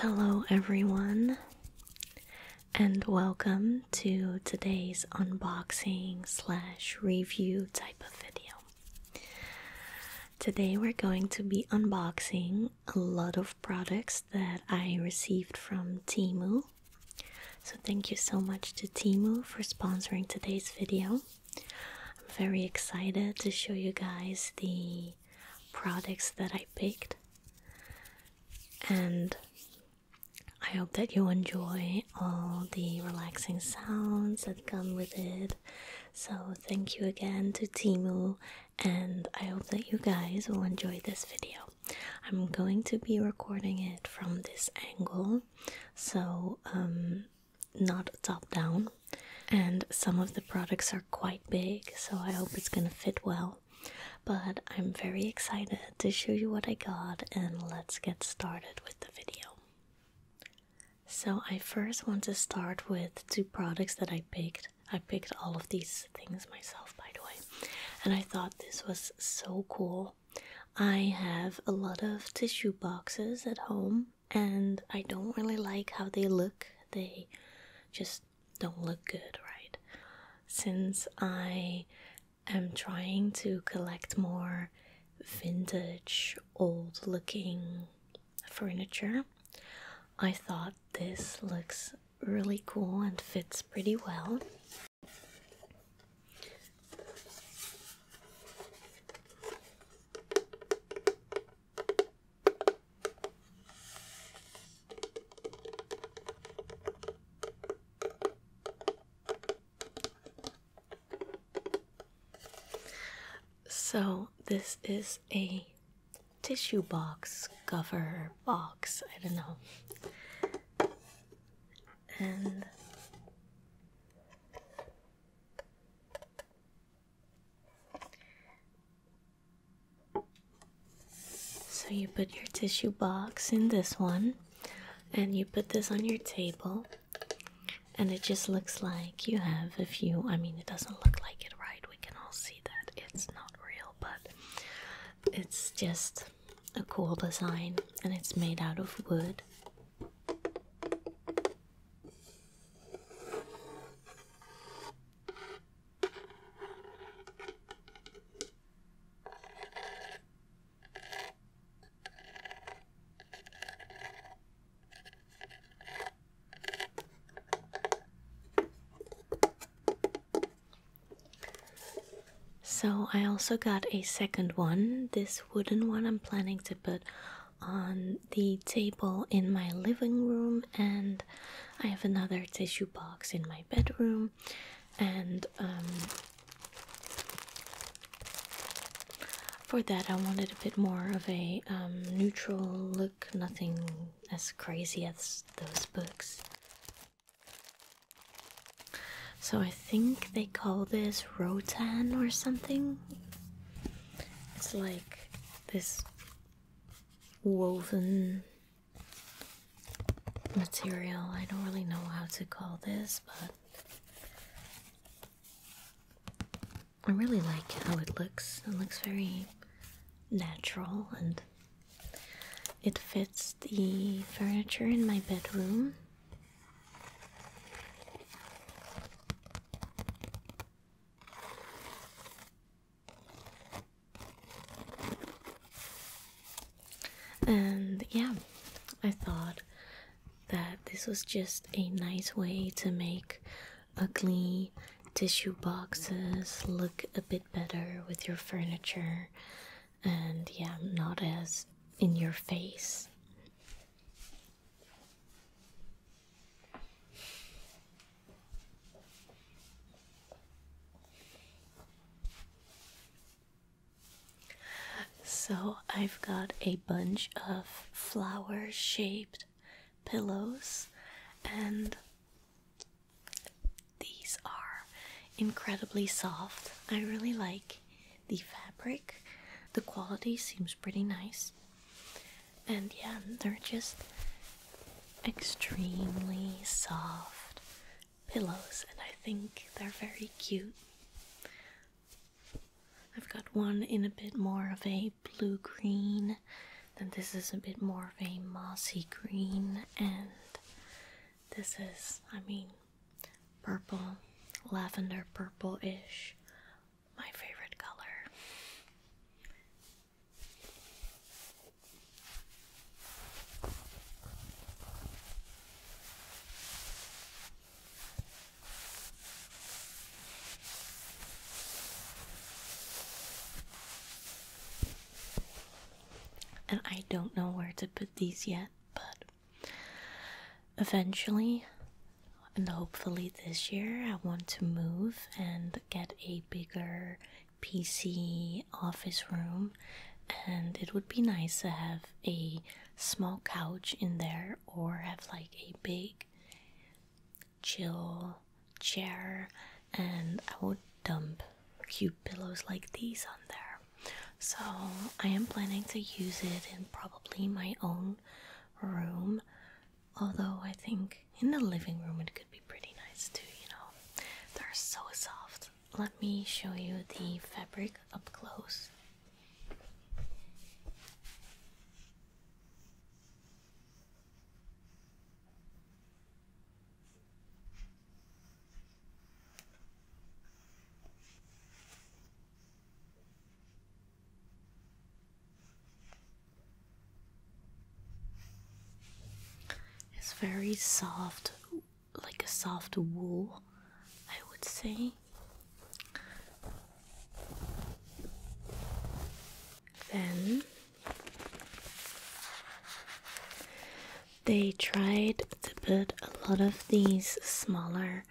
Hello, everyone, and welcome to today's unboxing slash review type of video. Today, we're going to be unboxing a lot of products that I received from Timu. So, thank you so much to Timu for sponsoring today's video. I'm very excited to show you guys the products that I picked, and I hope that you enjoy all the relaxing sounds that come with it. So, thank you again to Timu, and I hope that you guys will enjoy this video. I'm going to be recording it from this angle, so um, not top down. And some of the products are quite big, so I hope it's gonna fit well. But I'm very excited to show you what I got, and let's get started with the video. So, I first want to start with two products that I picked. I picked all of these things myself, by the way, and I thought this was so cool. I have a lot of tissue boxes at home and I don't really like how they look. They just don't look good, right? Since I am trying to collect more vintage, old looking furniture, I thought this looks really cool and fits pretty well. So, this is a tissue box cover box, I don't know. And so you put your tissue box in this one, and you put this on your table, and it just looks like you have a few. I mean, it doesn't look like it, right? We can all see that it's not real, but it's just a cool design, and it's made out of wood. So, I also got a second one. This wooden one I'm planning to put on the table in my living room, and I have another tissue box in my bedroom, and um, for that, I wanted a bit more of a um, neutral look, nothing as crazy as those books. So I think they call this rotan or something. It's like this woven material. I don't really know how to call this, but I really like how it looks. It looks very natural and it fits the furniture in my bedroom. And yeah, I thought that this was just a nice way to make ugly tissue boxes look a bit better with your furniture and yeah, not as in your face. So, I've got a bunch of flower shaped pillows, and these are incredibly soft. I really like the fabric. The quality seems pretty nice. And yeah, they're just extremely soft pillows, and I think they're very cute. I've got one in a bit more of a blue green, then this is a bit more of a mossy green, and this is, I mean, purple, lavender purple ish, my favorite color. And I don't know where to put these yet, but Eventually, and hopefully this year, I want to move and get a bigger PC office room, and it would be nice to have a small couch in there or have like a big chill chair, and I would dump cute pillows like these on there. So I am planning to use it in probably my own room. Although I think in the living room it could be pretty nice too, you know. They're so soft. Let me show you the fabric up close. It's very soft, like a soft wool, I would say. Then they tried to put a lot of these smaller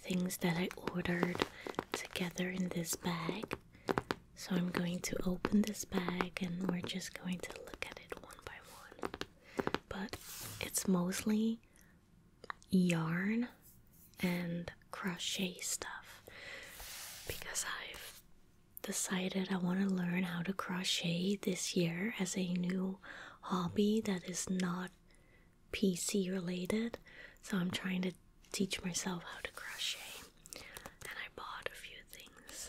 things that I ordered together in this bag. So I'm going to open this bag and we're just going to look at it one by one. But it's mostly yarn and crochet stuff because I've decided I want to learn how to crochet this year as a new hobby that is not PC related, so I'm trying to teach myself how to crochet. And I bought a few things.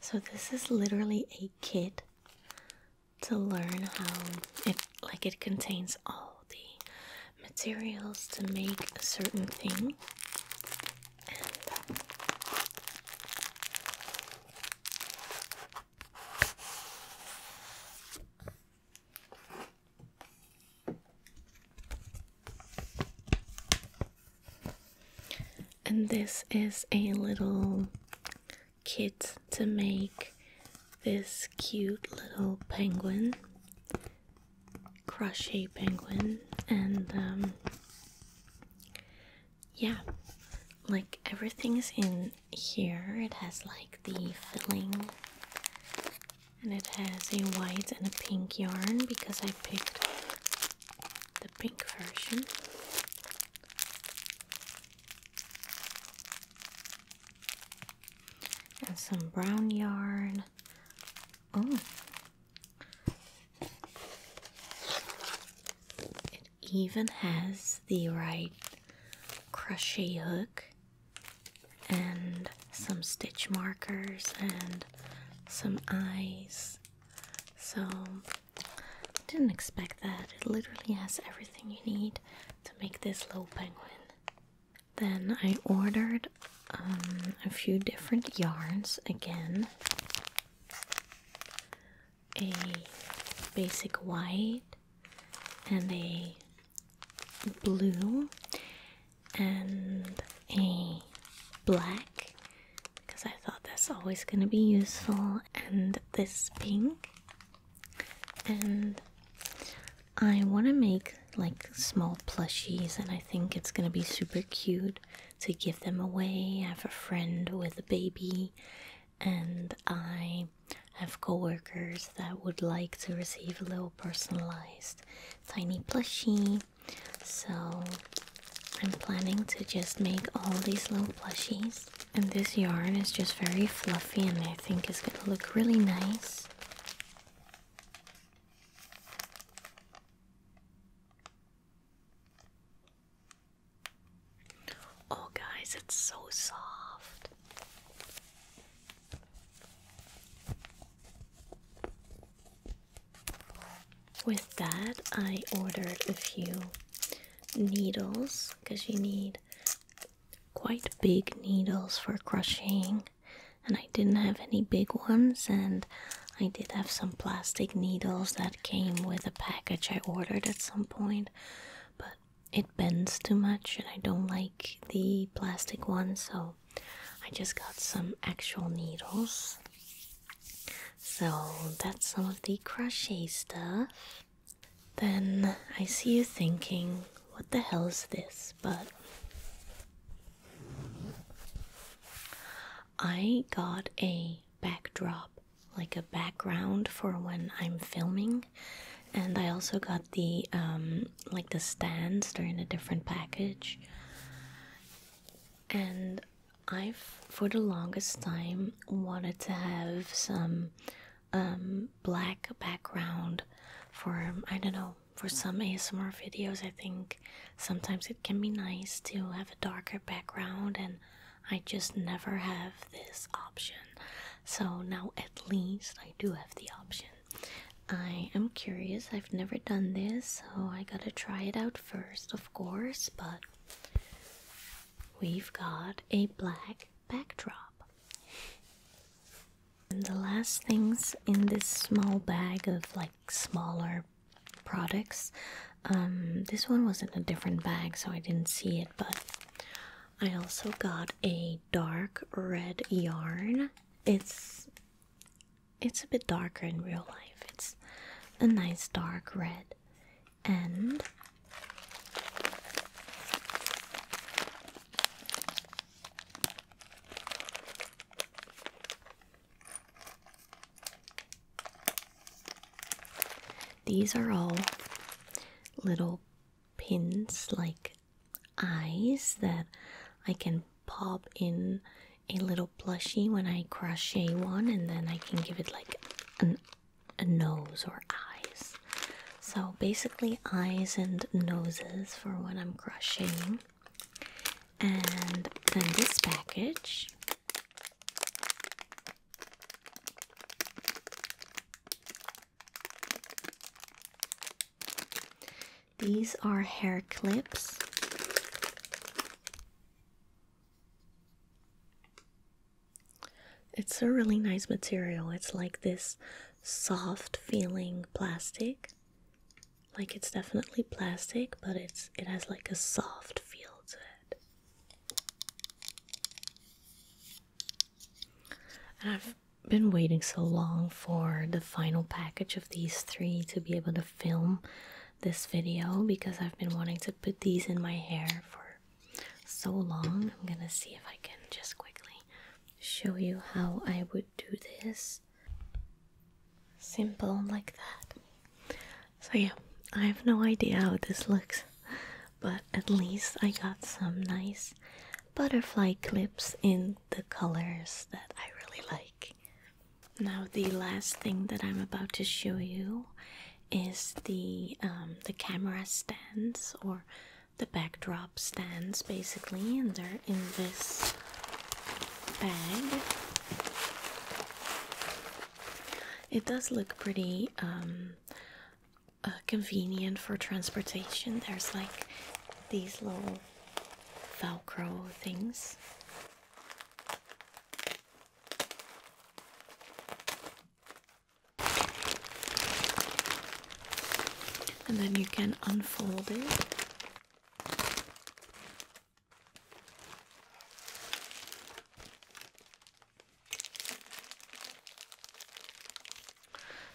So this is literally a kit to learn how it like it contains all the materials to make a certain thing. And this is a little kit to make this cute little penguin, crochet penguin, and um, yeah, like everything's in here. It has like the filling and it has a white and a pink yarn because I picked the pink version. And some brown yarn. Oh. It even has the right crochet hook and some stitch markers and some eyes. So, didn't expect that. It literally has everything you need to make this little penguin. Then I ordered um, a few different yarns again. A basic white and a blue and a black because I thought that's always going to be useful, and this pink. And I want to make like small plushies, and I think it's going to be super cute to give them away. I have a friend with a baby, and I have coworkers that would like to receive a little personalized tiny plushie. So I'm planning to just make all these little plushies. And this yarn is just very fluffy and I think it's gonna look really nice. Oh guys, it's so soft. With that, I ordered a few needles because you need quite big needles for crocheting, and I didn't have any big ones, and I did have some plastic needles that came with a package I ordered at some point, but it bends too much, and I don't like the plastic ones, so I just got some actual needles. So that's some of the crochet stuff. Then I see you thinking, what the hell is this? But I got a backdrop, like a background for when I'm filming. And I also got the um, like the stands. They're in a different package, and I've for the longest time wanted to have some um, black background for I don't know for some ASMR videos I think sometimes it can be nice to have a darker background and I just never have this option so now at least I do have the option I am curious. I've never done this, so I gotta try it out first, of course. But we've got a black backdrop. And the last things in this small bag of like smaller products. Um, this one was in a different bag, so I didn't see it, but I also got a dark red yarn. It's it's a bit darker in real life. It's a nice dark red. And these are all little pins like eyes that I can pop in a little plushie when I crochet one, and then I can give it like a nose or eyes. So basically, eyes and noses for when I'm crocheting. And then this package these are hair clips. It's a really nice material. It's like this soft feeling plastic. Like it's definitely plastic, but it's it has like a soft feel to it been waiting so long for the final package of these three to be able to film this video because I've been wanting to put these in my hair for so long. I'm gonna see if I can just quickly show you how I would do this. Simple like that. So, yeah, I have no idea how this looks, but at least I got some nice butterfly clips in the colors that I really like. Now the last thing that I'm about to show you is the um, the camera stands or the backdrop stands basically, and they're in this bag. It does look pretty um, uh, convenient for transportation. There's like these little Velcro things. And then you can unfold it.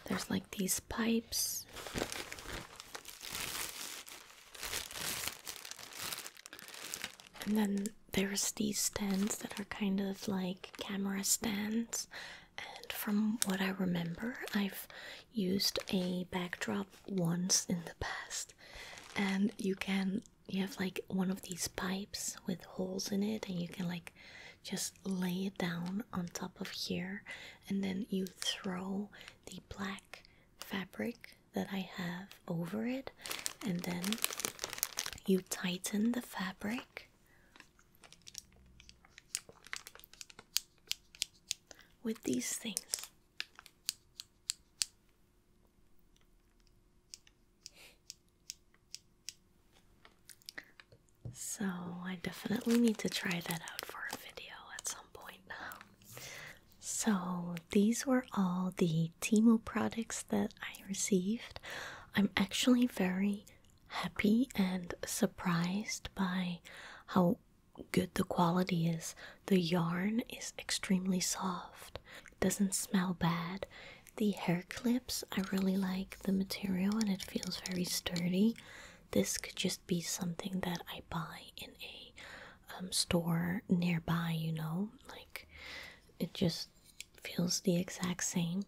There's like these pipes and then there's these stands that are kind of like camera stands. And from what I remember, I've used a backdrop once in the past. And you can, you have like one of these pipes with holes in it, and you can like just lay it down on top of here, and then you throw the black fabric that I have over it, and then you tighten the fabric with these things. So, I definitely need to try that out for a video at some so, these were all the Timo products that I received. I'm actually very happy and surprised by how good the quality is. The yarn is extremely soft, doesn't smell bad. The hair clips, I really like the material and it feels very sturdy. This could just be something that I buy in a um, store nearby, you know? Like, it just feels the exact same.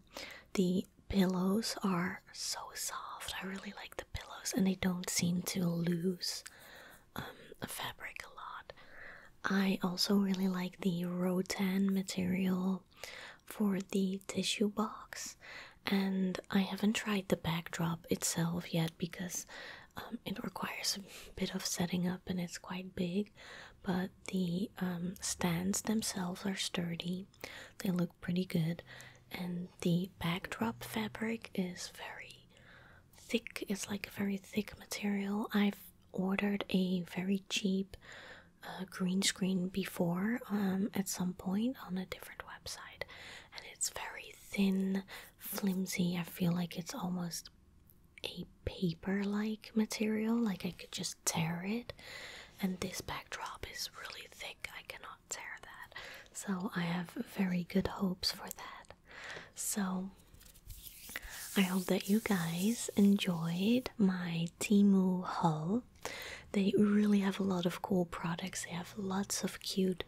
The pillows are so soft. I really like the pillows, and they don't seem to lose um, fabric a lot. I also really like the Rotan material for the tissue box and I haven't tried the backdrop itself yet because um, it requires a bit of setting up and it's quite big. But the um, stands themselves are sturdy, they look pretty good, and the backdrop fabric is very thick, it's like a very thick material. I've ordered a very cheap uh, green screen before um, at some point on a different website and it's very thin, flimsy. I feel like it's almost a paper like material, like I could just tear it. And this backdrop is really thick, I cannot tear that. So I have very good hopes for that. So I hope that you guys enjoyed my Timu haul. They really have a lot of cool products. They have lots of cute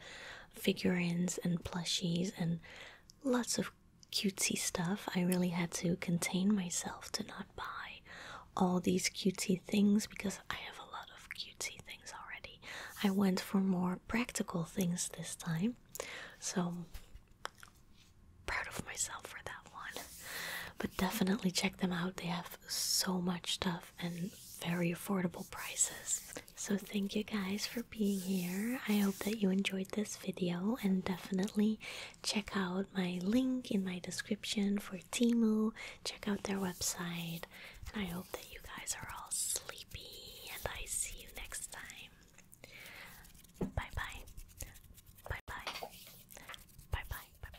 figurines and plushies and lots of cutesy stuff. I really had to contain myself to not buy all these cutesy things because I have a lot of cutesy things already. I went for more practical things this time. So proud of myself for that one. But definitely check them out. They have so much stuff and very affordable prices. So thank you guys for being here. I hope that you enjoyed this video and definitely check out my link in my description for Timu. Check out their website. And I hope that you guys are all sleepy and I see you next time. Bye-bye. Bye-bye. Bye-bye. Bye-bye.